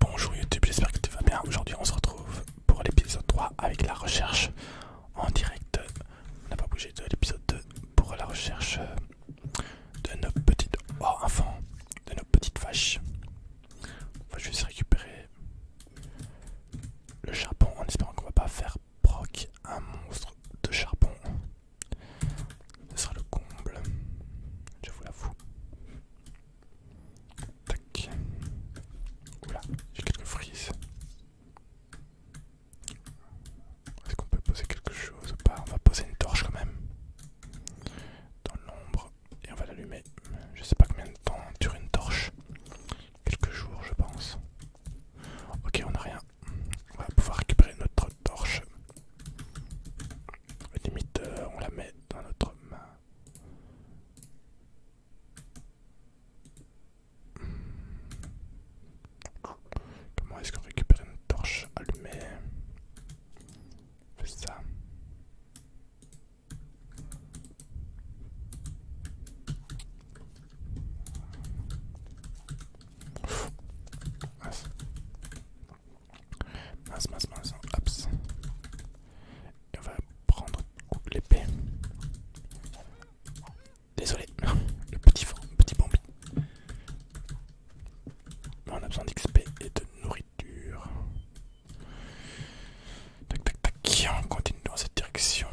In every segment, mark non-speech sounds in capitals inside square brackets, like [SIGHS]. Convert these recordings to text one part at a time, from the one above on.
Bonjour YouTube, j'espère que tu vas bien. Aujourd'hui on se retrouve pour l'épisode 3 avec la recherche en direct. On n'a pas bougé de l'épisode 2 pour la recherche de nos petites... Oh, enfants, de nos petites vaches. On va juste récupérer le charbon en espérant qu'on va pas faire proc un monstre de charbon. Ce sera le comble, je vous l'avoue. Tac. Oula, j'ai quelques frises. Est-ce qu'on peut poser quelque chose ou pas On va poser une torche quand même. Dans l'ombre. Et on va l'allumer. Je sais pas combien de temps dure une torche. Quelques jours je pense. Ok, on n'a rien. On va pouvoir récupérer notre torche. Limite, on la met dans notre main. Comment est-ce qu'on récupère une torche allumée On ça. Ah, Mince, mince, mince. Hops. on va prendre l'épée. Désolé, [LAUGHS] le petit, petit bombi. On a besoin d'XP et de nourriture. Tac, tac, tac. On continue dans cette direction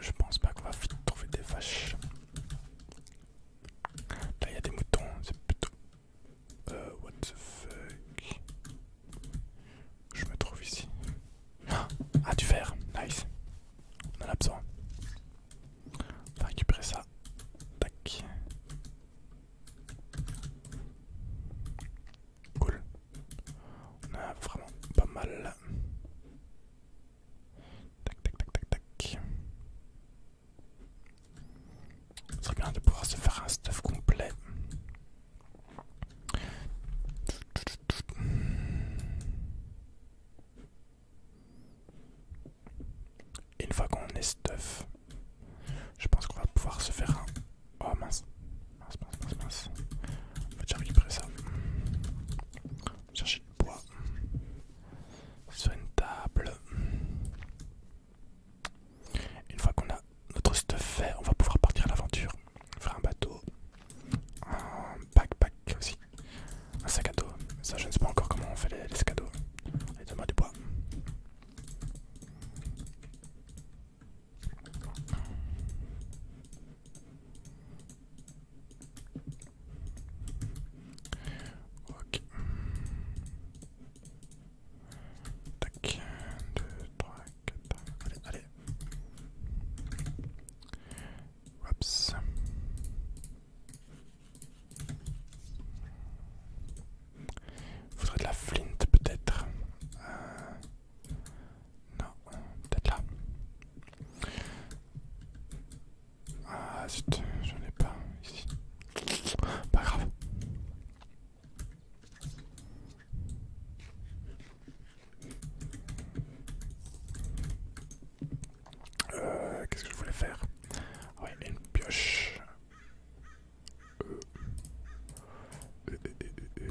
je pense pas qu'on va trouver des vaches. Là, il y a des moutons, c'est plutôt. Euh, what the fuck? Je me trouve ici. Ah, du verre, nice. On en a besoin. On va récupérer ça. Tac. Cool. On a vraiment pas mal. Tac, tac, tac, tac, tac. Ce serait bien de pouvoir se faire un stuff complet. une fois qu'on est stuff, je pense qu'on va pouvoir se faire un... Oh mince, mince, mince, mince, mince. On va déjà récupérer ça. Chercher du bois sur une table. Une fois qu'on a notre stuff fait, on va pouvoir partir à l'aventure. Faire un bateau, un backpack aussi, un sac à dos. Ça, je ne sais pas encore comment on fait les, les sacs à dos. Allez, donne-moi du bois. Ok. Tac. Allez, allez. Faudrait de la flinte, peut-être. Euh, non, peut-être là. Ah zut, j'en ai pas ici. Pas grave. Euh, Qu'est-ce que je voulais faire Ouais, une pioche. Euh, euh, euh,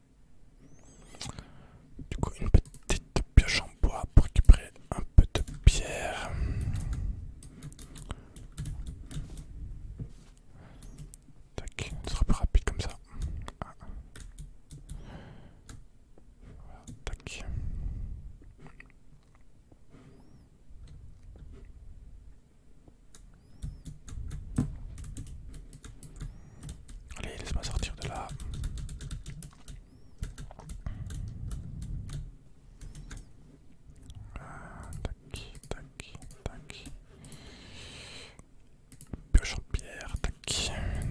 Du coup, une petite pioche en bois pour récupérer un peu de pierre. Tac, ce sera plus rapide comme ça. Ah. tac. Allez, laisse-moi sortir de là. Ah, tac, tac, tac. Pioche en pierre, tac,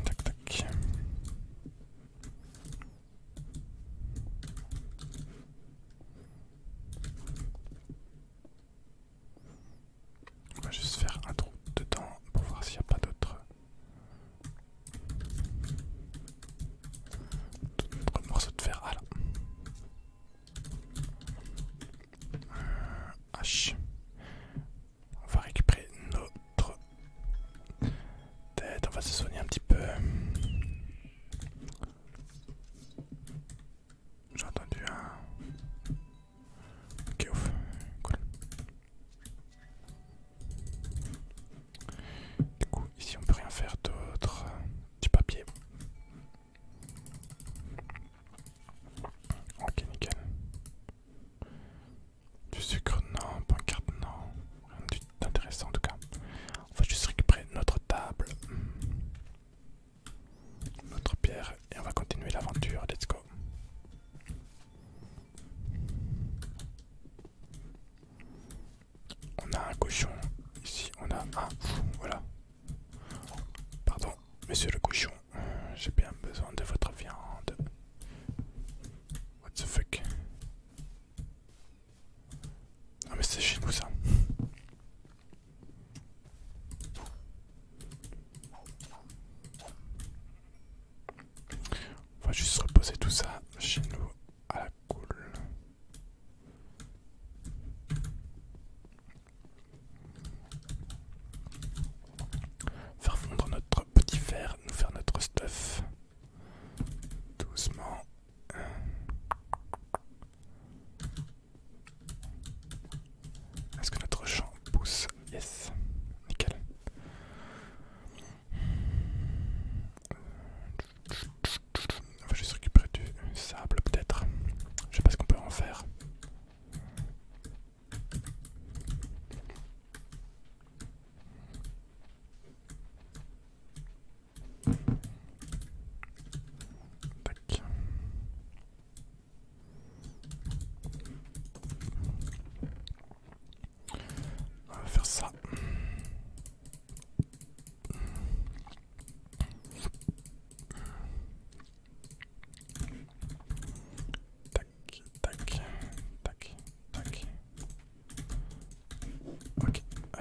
tac, tac. On va juste faire un trou dedans pour voir s'il n'y a pas d'autres morceaux de fer. Ah là. Euh, H. On va récupérer notre tête. On va se soigner un petit peu. J'ai entendu un... Ok, ouf, Cool. Du coup, ici on peut rien faire d'autre. Du papier. Ok, nickel. Du sucre, non. Pancarte, non. Rien d'intéressant en tout cas. On va juste récupérer notre table notre pierre et on va continuer l'aventure. Let's go. On a un cochon ici, on a un voilà. Pardon, monsieur le cochon, euh, j'ai bien besoin de votre viande. What the fuck? Non mais c'est chez nous ça. On va juste reposer tout ça chez nous à la cool. Faire fondre notre petit verre, nous faire notre stuff. Doucement. Est-ce que notre champ pousse Yes, nickel. On va juste récupérer du sable peut-être. Je sais pas ce qu'on peut en faire. On va faire ça. Tac, tac, tac, tac. Ok. Euh.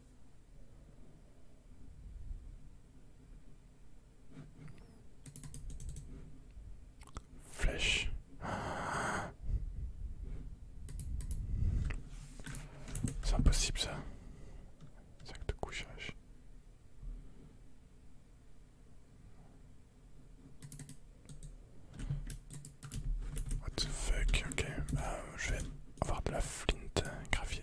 Flèche. C'est impossible ça. Sac de couchage. What the fuck, ok. Euh, je vais avoir de la flint euh, graphiée.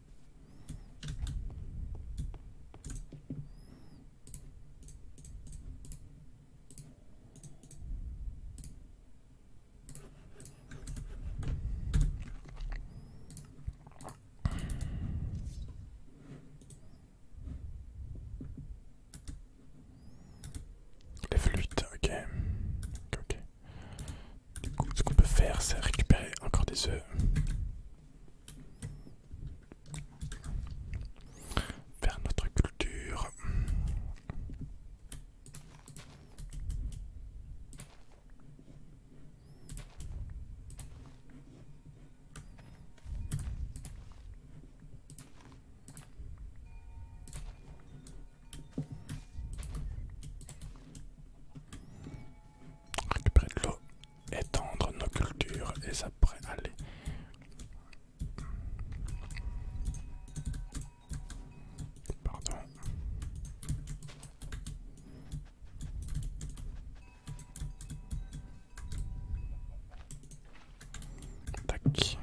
Les flûtes, ok. Ok. Du coup, ce qu'on peut faire, c'est récupérer encore des œufs vers notre culture. Récupérer de l'eau, étendre nos cultures et ça pourrait aller. Pardon. Tac, 21,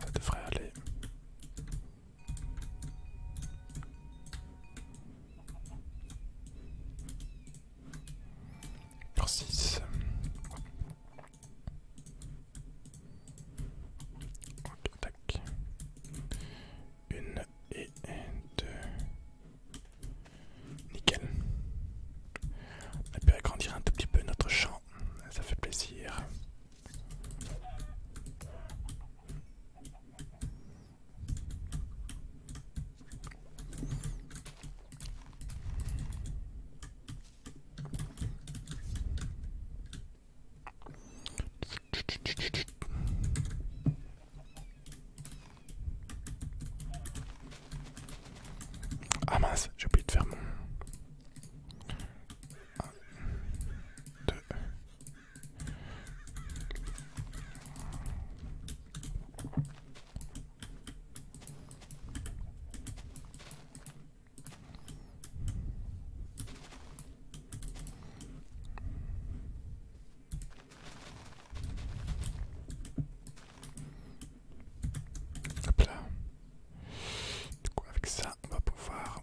ça devrait aller. 6. Une et deux. Nickel. On a pu agrandir un tout petit peu notre champ. Ça fait plaisir. Ah mince, j'ai oublié de faire mon avec ça, on va pouvoir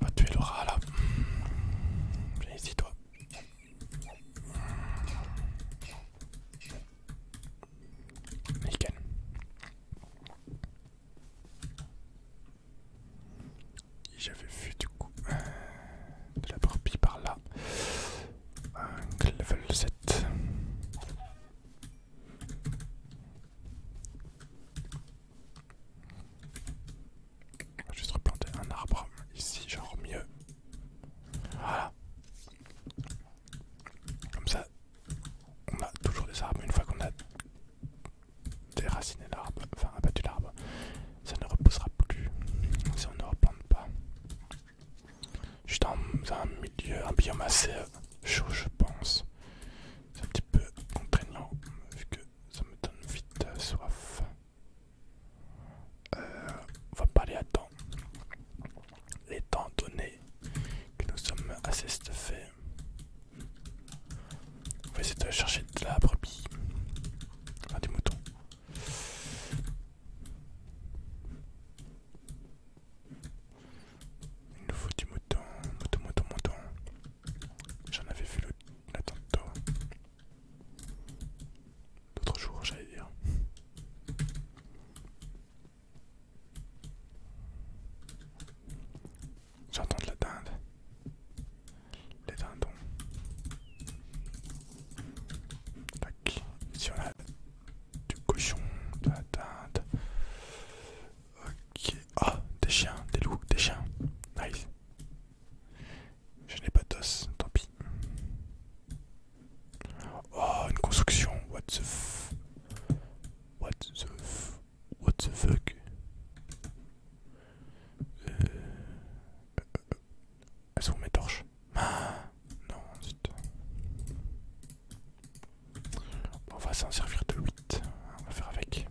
On va tuer le rat là. Viens ici toi. Nickel. J'avais vu du coup euh, de la brebis par là. Un level 7. On va juste replanter un arbre ici, genre mieux. Voilà. Comme ça, on a toujours des arbres. Une fois qu'on a déraciné l'arbre, enfin abattu l'arbre, ça ne repoussera plus si on ne replante pas. Je suis dans un milieu, un biome assez euh, chaud, je pense. C'est un petit peu contraignant, vu que ça me donne vite euh, soif. Euh, on va pas aller à temps. Les temps donné que nous sommes assez stuffés, on va essayer de chercher de la brebis. Ah, des moutons. Il nous faut du mouton, mouton, mouton, mouton. J'en avais vu le, la L'autre jour, j'allais dire. J'entends de la dinde. Les dindons. Tac. Ici on a du cochon, de la dinde, Ok. Ah, des chiens, des loups, des chiens. Nice. Je n'ai pas de d'os, tant pis. Oh, une construction. What the f... What the f... What the fuck euh... Elles euh, euh, euh, sont mes torches. Ah, non, on va s'en servir de 8, on va faire avec.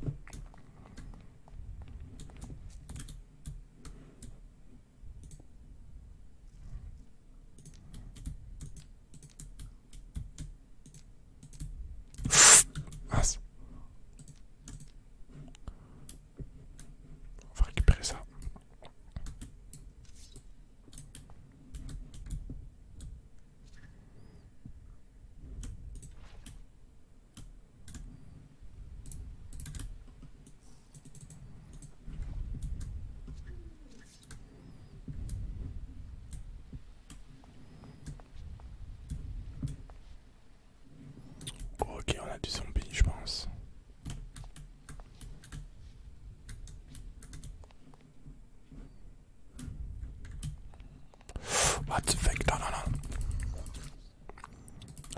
Vas. Ah, on va récupérer ça. Ok, on a du zombie, je pense. What the fuck? Non, non, non.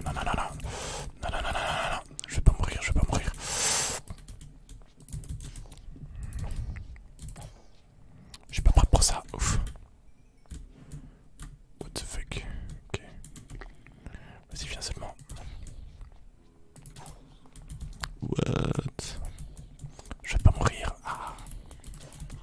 Non, non, non, non. Non, non, Je vais pas mourir, je vais pas mourir. Je suis pas prêt pour ça, ouf. What the fuck? Ok. Vas-y, viens seulement. What? Je vais pas mourir. Ah.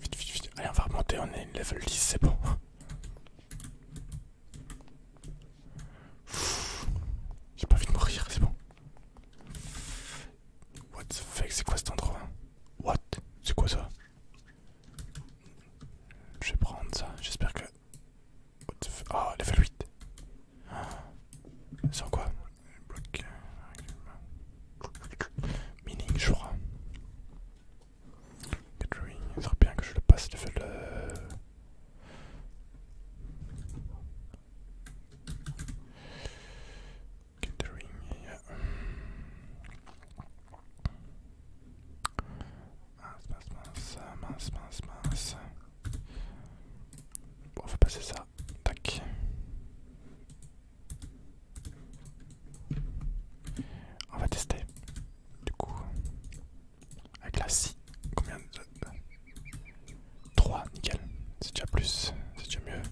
Vite, vite, vite. Allez, on va remonter, on est level 10, c'est bon. J'ai pas envie de mourir, c'est bon. What the fuck, c'est quoi cet endroit What C'est quoi ça Je vais prendre ça, j'espère que... Oh, level 8 ah. Sans quoi bloc euh, mining je crois. Catering. il serait bien que je le passe level le... Gathering, yeah. Mince, mince, mince, mince, mince, mince. Bon, on va passer ça Tac. On va tester. Du coup, avec la scie, combien de... 3, nickel. C'est déjà plus, c'est déjà mieux.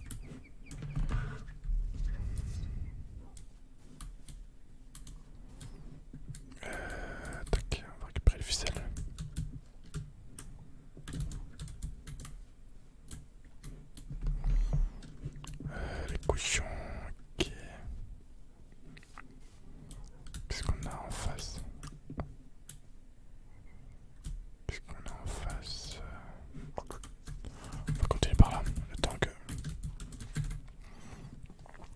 Euh, tac, on va récupérer le ficelle. Euh, les cochons, ok. Qu'est-ce qu'on a en face Qu'est-ce qu'on a en face On va continuer par là, le temps que...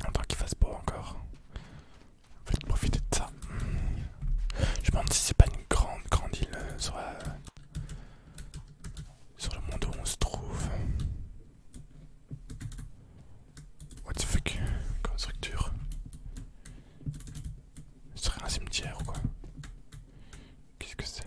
Le qu'il fasse beau encore. Faites profiter de ça. Je me demande si c'est pas une grande, grande île, euh, soit sur le monde où on se trouve. What the fuck Comme structure. Ce serait un cimetière ou quoi Qu'est-ce que c'est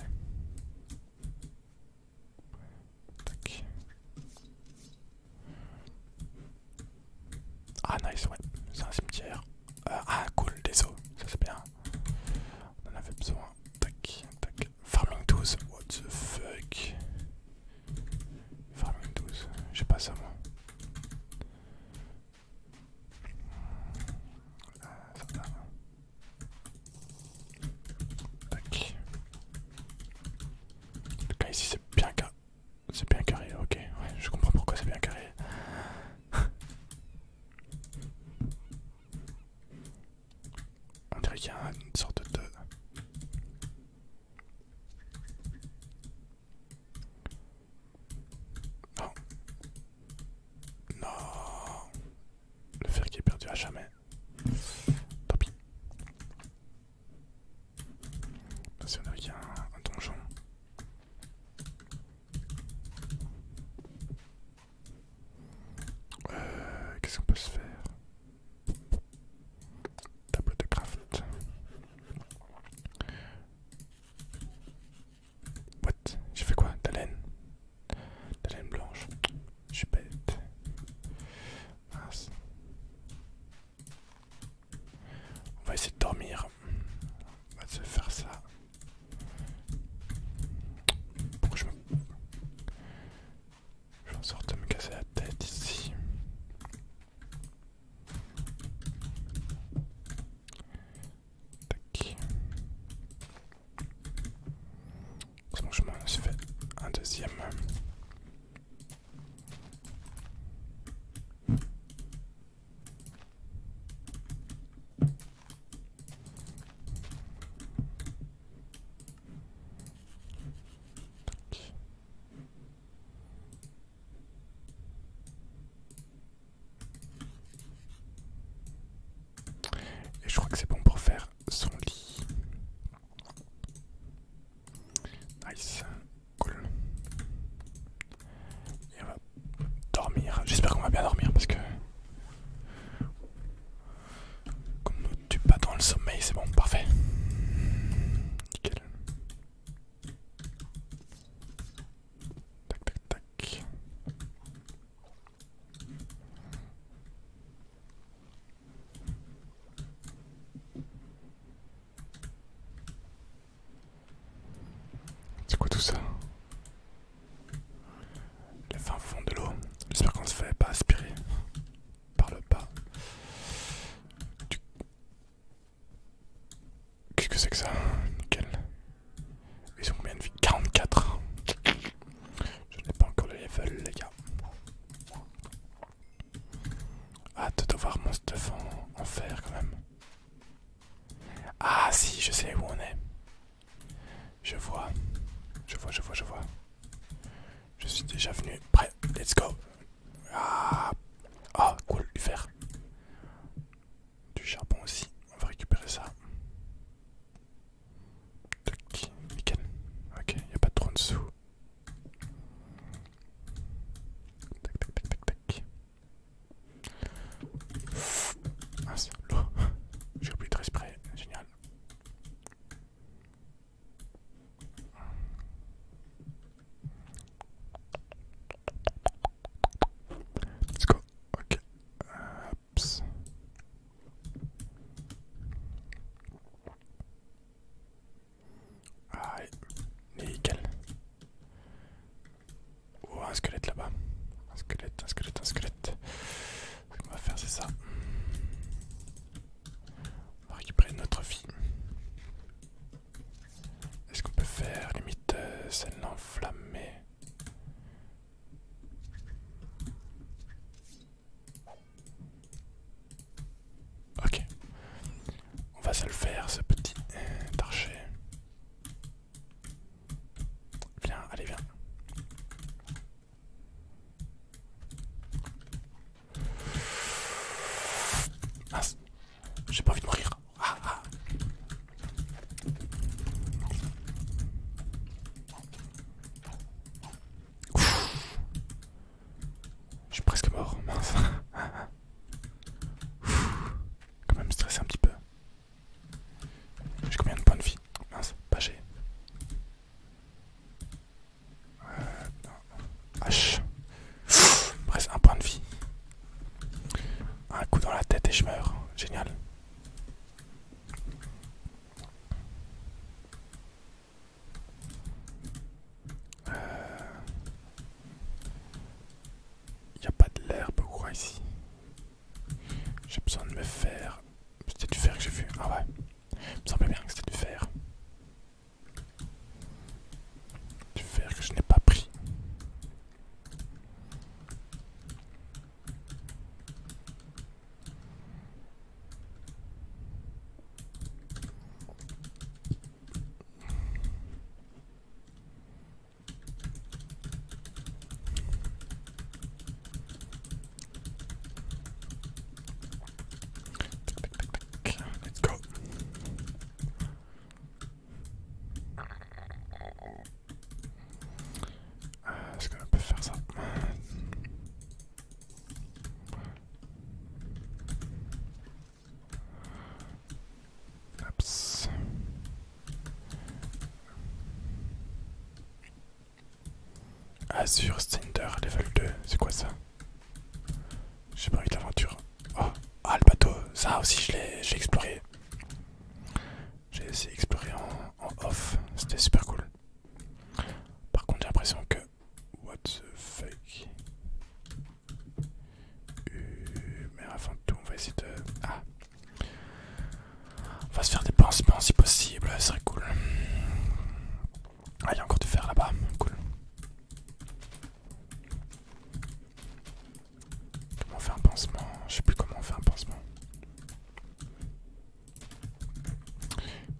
Ah nice ouais, c'est un cimetière. Euh, ah cool, des os, ça c'est bien. On en avait besoin. Tac, tac. Farming 12. What the fuck Farming 12. J'ai pas ça moi. Euh, ça Tac. En tout cas ici c'est bien carré. C'est bien carré, ok. Ouais, je comprends pourquoi c'est bien carré. On dirait qu'il y a une sorte de... Non. Non. Le fer qui est perdu à jamais. Tant pis. Là, on dirait qu'il y a un donjon. Euh, qu'est-ce qu'on peut se faire Table de craft. What J'ai fait quoi T'as laine T'as laine blanche. Je suis bête. Mince. On va essayer de dormir. On va se faire ça. je sorte de me casser la tête ici. je m'en fait un deuxième. Et je crois que c'est bon pour faire son lit. Nice, cool. Et on va dormir. J'espère qu'on va bien dormir parce que. comme nous tue pas dans le sommeil, c'est bon, parfait. Nickel. Tac tac tac. C'est quoi tout ça Les fins fond de l'eau. J'espère qu'on se fait pas aspirer par le bas. Qu'est-ce que c'est que ça Ils ont combien de vie 44 Je n'ai pas encore le level les gars. Hâte de voir mon stuff en, en fer quand même. Ah si, je sais où on est. Je vois. Je vois, je vois, je vois. Je suis déjà venu. Prêt, let's go. Ah, ah cool, du fer. Du charbon aussi. On va récupérer ça. Tac, nickel. Ok, il n'y a pas de trop en dessous. Ah, [LAUGHS] J'ai oublié de respirer, génial. Let's go, ok. nickel. Oh, un squelette là-bas. Un squelette, un squelette, un squelette. Ce qu'on va faire, c'est ça. On va récupérer notre fille. Est-ce qu'on peut faire limite celle euh, celle enflammée Ok. On va se le faire, ce petit euh, Viens, allez, viens. Mince, j'ai pas envie de mourir. Ah, ah. Je suis presque mort, mince. [LAUGHS] Quand même stressé un petit peu. J'ai combien de points de vie Mince, pas j'ai. Euh, H. un point de vie. Un coup dans la tête et je meurs. Génial. Euh, il n'y a pas de l'herbe ou quoi ici J'ai besoin de me faire... C'était du fer que j'ai vu. Ah ouais. Il me semblait bien que c'était du fer. Du fer que je n'ai pas pris. Let's go. Euh, est-ce qu'on peut faire ça Azure Cinder level 2, c'est quoi ça J'ai pas envie de l'aventure. Oh. Ah le bateau, ça aussi je l'ai exploré. J'ai essayé d'explorer en off, c'était super cool. Par contre j'ai l'impression que... What the fuck euh, mais avant tout, on va essayer de. Ah! On va se faire des pansements si possible, ça serait cool. Ah, il y a encore de fer là-bas, cool. Comment on fait un pansement? Je sais plus comment on fait un pansement.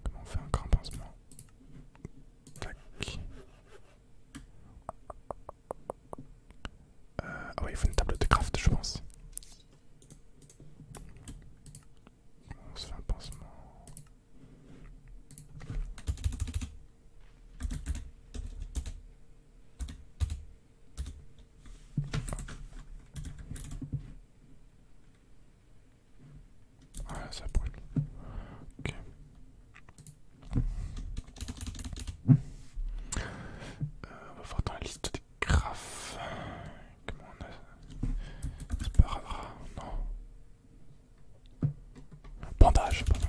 Comment on fait encore un pansement? Tac. Euh, ah ouais, il faut une table de craft, je pense. On se fait un pansement. Ah ça brûle. Ok. Euh, on va voir dans la liste des graphes. Comment on a. C'est pas non. Bandage, pardon.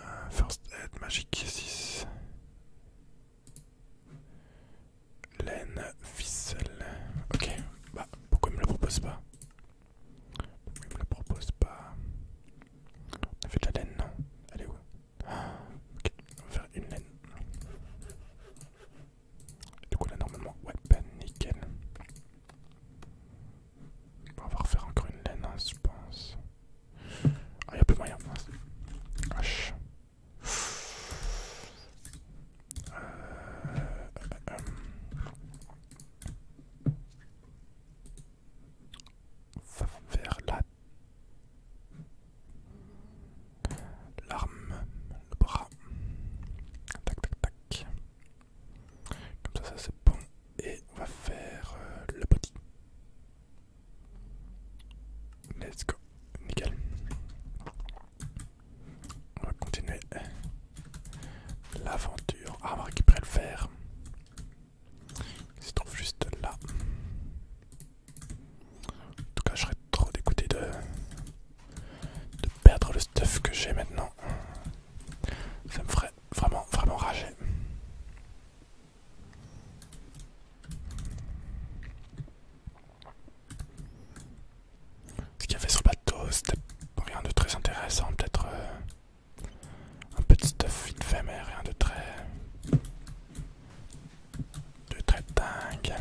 Euh, first aid, magique 6. Laine, ficelle. Ok, bah pourquoi il me le propose pas il me le propose pas. On a fait de la laine, non Elle est où ah, Ok, on va faire une laine. du coup là normalement, ouais, ben nickel. on va refaire encore une laine, hein, je pense. Ah, y'a plus moyen. H. Euh, euh, euh, on va faire la l'arme, le bras. Tac tac tac. Comme ça, ça c'est bon. Et on va faire euh, le body. Let's go. Nickel. On va continuer L'aventure. Ah, on qui pourrait le faire Il se trouve juste là. En tout cas, je serais trop dégoûté de, de perdre le stuff que j'ai maintenant. Ça me ferait vraiment, vraiment rager. Ce qu'il y avait sur le bateau, c'était rien de très intéressant. Peut-être euh, un petit stuff infamé, rien de très. de très dingue.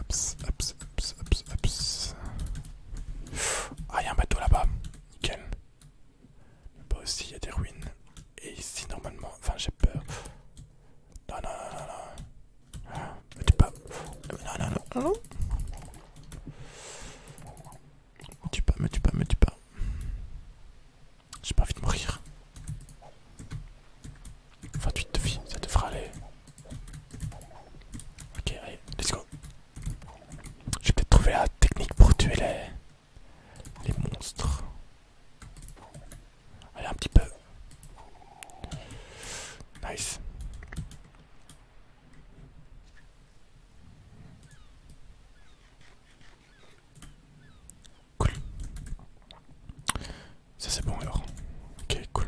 Ups, ups, ups, ups, ups. Ah, il y a un bateau là-bas. Nickel. Pas aussi, il y a des ruines. Et ici normalement, enfin j'ai peur. Non non non non ah, tu Non non non non. Ah pas, me tu pas, me tu pas. J'ai pas envie de mourir. 28 te vie, ça devra aller. Ok, allez, let's go. J'ai peut-être trouvé la technique pour tuer les les monstres. Allez, un petit peu. Nice. Cool. Ça c'est bon alors. Ok, cool.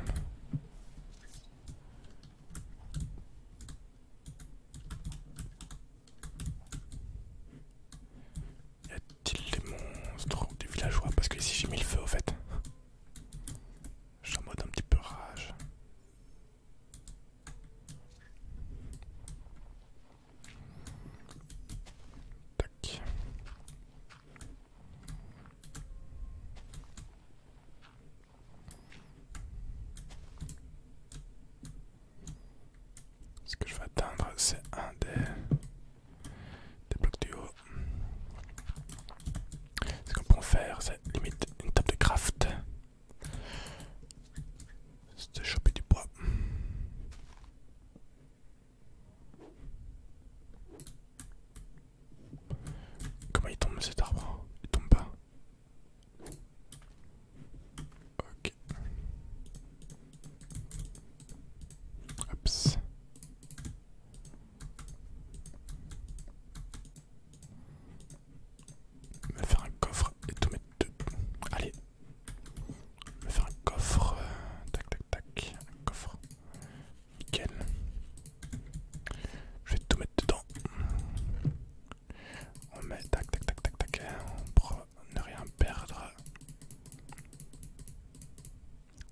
Y a-t-il des monstres ou des villageois Parce que ici j'ai mis le feu au fait. Je suis en mode un petit peu rage. Tac. Ce que je vais atteindre, c'est un des blocs du haut. Ce qu'on peut faire, c'est limite une table de craft. C'est de choper du bois. Comment il tombe cet arbre Il tombe pas. Ok. Oups. Me faire un coffre et tout mettre dedans. Allez. Me faire un coffre. Euh, tac tac tac. Un coffre. Nickel. Je vais tout mettre dedans. On met tac tac tac tac tac. On ne rien perdre.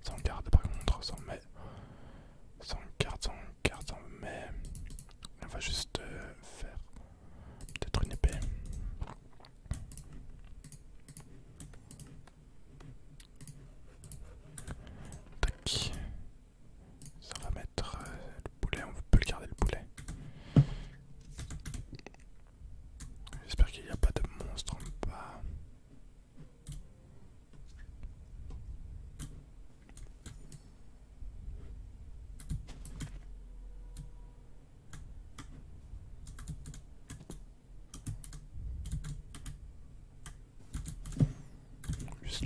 Sans garde par contre, sans mais. Sans garde, sans garde, sans mais. On va juste euh, faire peut-être une épée. Tac. Ça va mettre euh, le poulet, on peut le garder le poulet. J'espère qu'il n'y a pas de monstre en bas.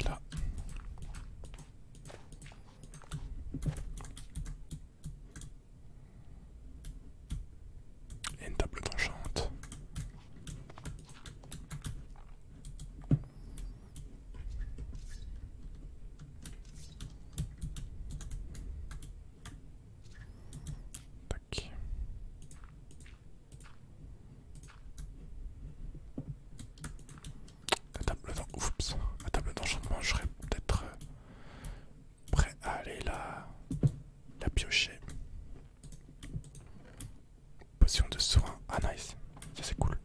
là. Et une table d'enchante. Tac. La table d'enchantement, je serais peut-être euh, prêt à aller la, la piocher. Potion de soin. Ah nice, ça c'est cool.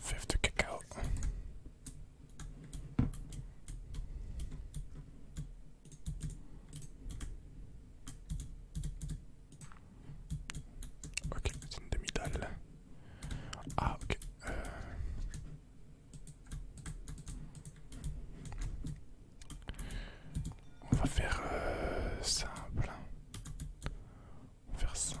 Fève de cacao. Ok, c'est une demi-dalle. Ah, ok. Euh. On va faire euh, simple. Hein. On va faire simple.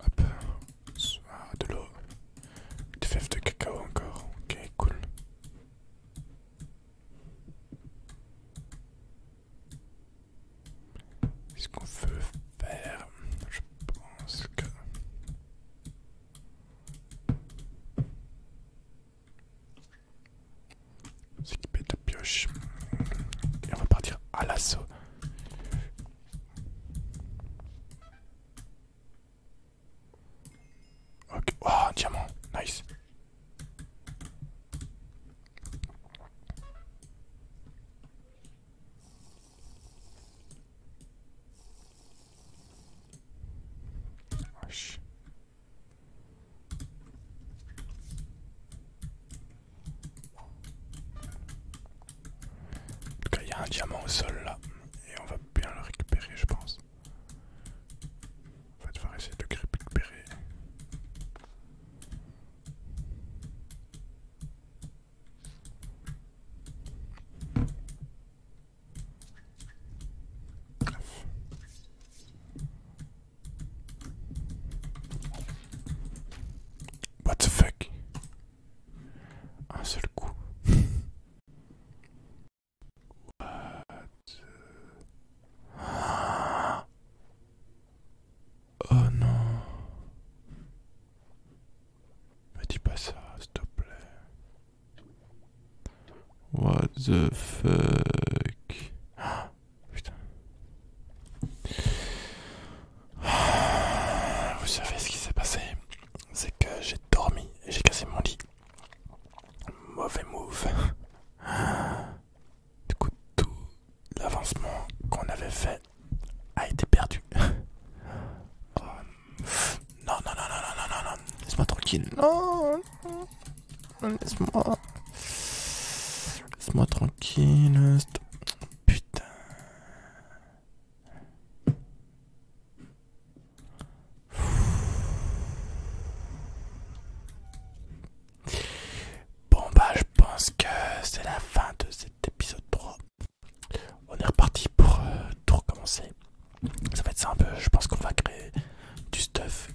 Hop, ah, de l'eau, des fèves de cacao encore, ok, cool. Qu'est-ce qu'on veut faire Je pense que... S'équiper de pioche. Et on va partir à l'assaut. Ok, oh, diamant, nice. En il y a un diamant au sol là, et on va bien le récupérer, je pense. On va devoir essayer de le récupérer. What the fuck? Un seul coup. Oh non. Me dis pas ça, s'il What the fuck [GASPS] [SIGHS] vous savez ce qui s'est passé C'est que j'ai dormi et j'ai cassé mon lit. Mauvais move. [GASPS] du coup, tout l'avancement qu'on avait fait a été perdu. [LAUGHS] Oh, non, non, non, non, non, non, non, laisse-moi tranquille. Non, laisse-moi. Laisse-moi tranquille. Putain. Bon, bah, je pense que c'est la fin de cet épisode 3. On est reparti pour euh, tout recommencer. Ça va être simple, je pense qu'on va créer du stuff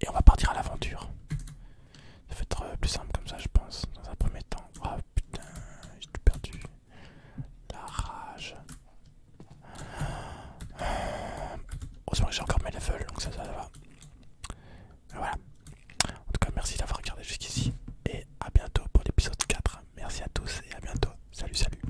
et on va partir à l'aventure. Ça va être euh, plus simple comme ça, je pense, dans un premier temps. oh, putain, j'ai perdu. La rage. Heureusement j'ai encore mes levels, donc ça, ça, va. voilà. En tout cas, merci d'avoir regardé jusqu'ici. Et à bientôt pour l'épisode 4. Merci à tous et à bientôt. Salut, salut.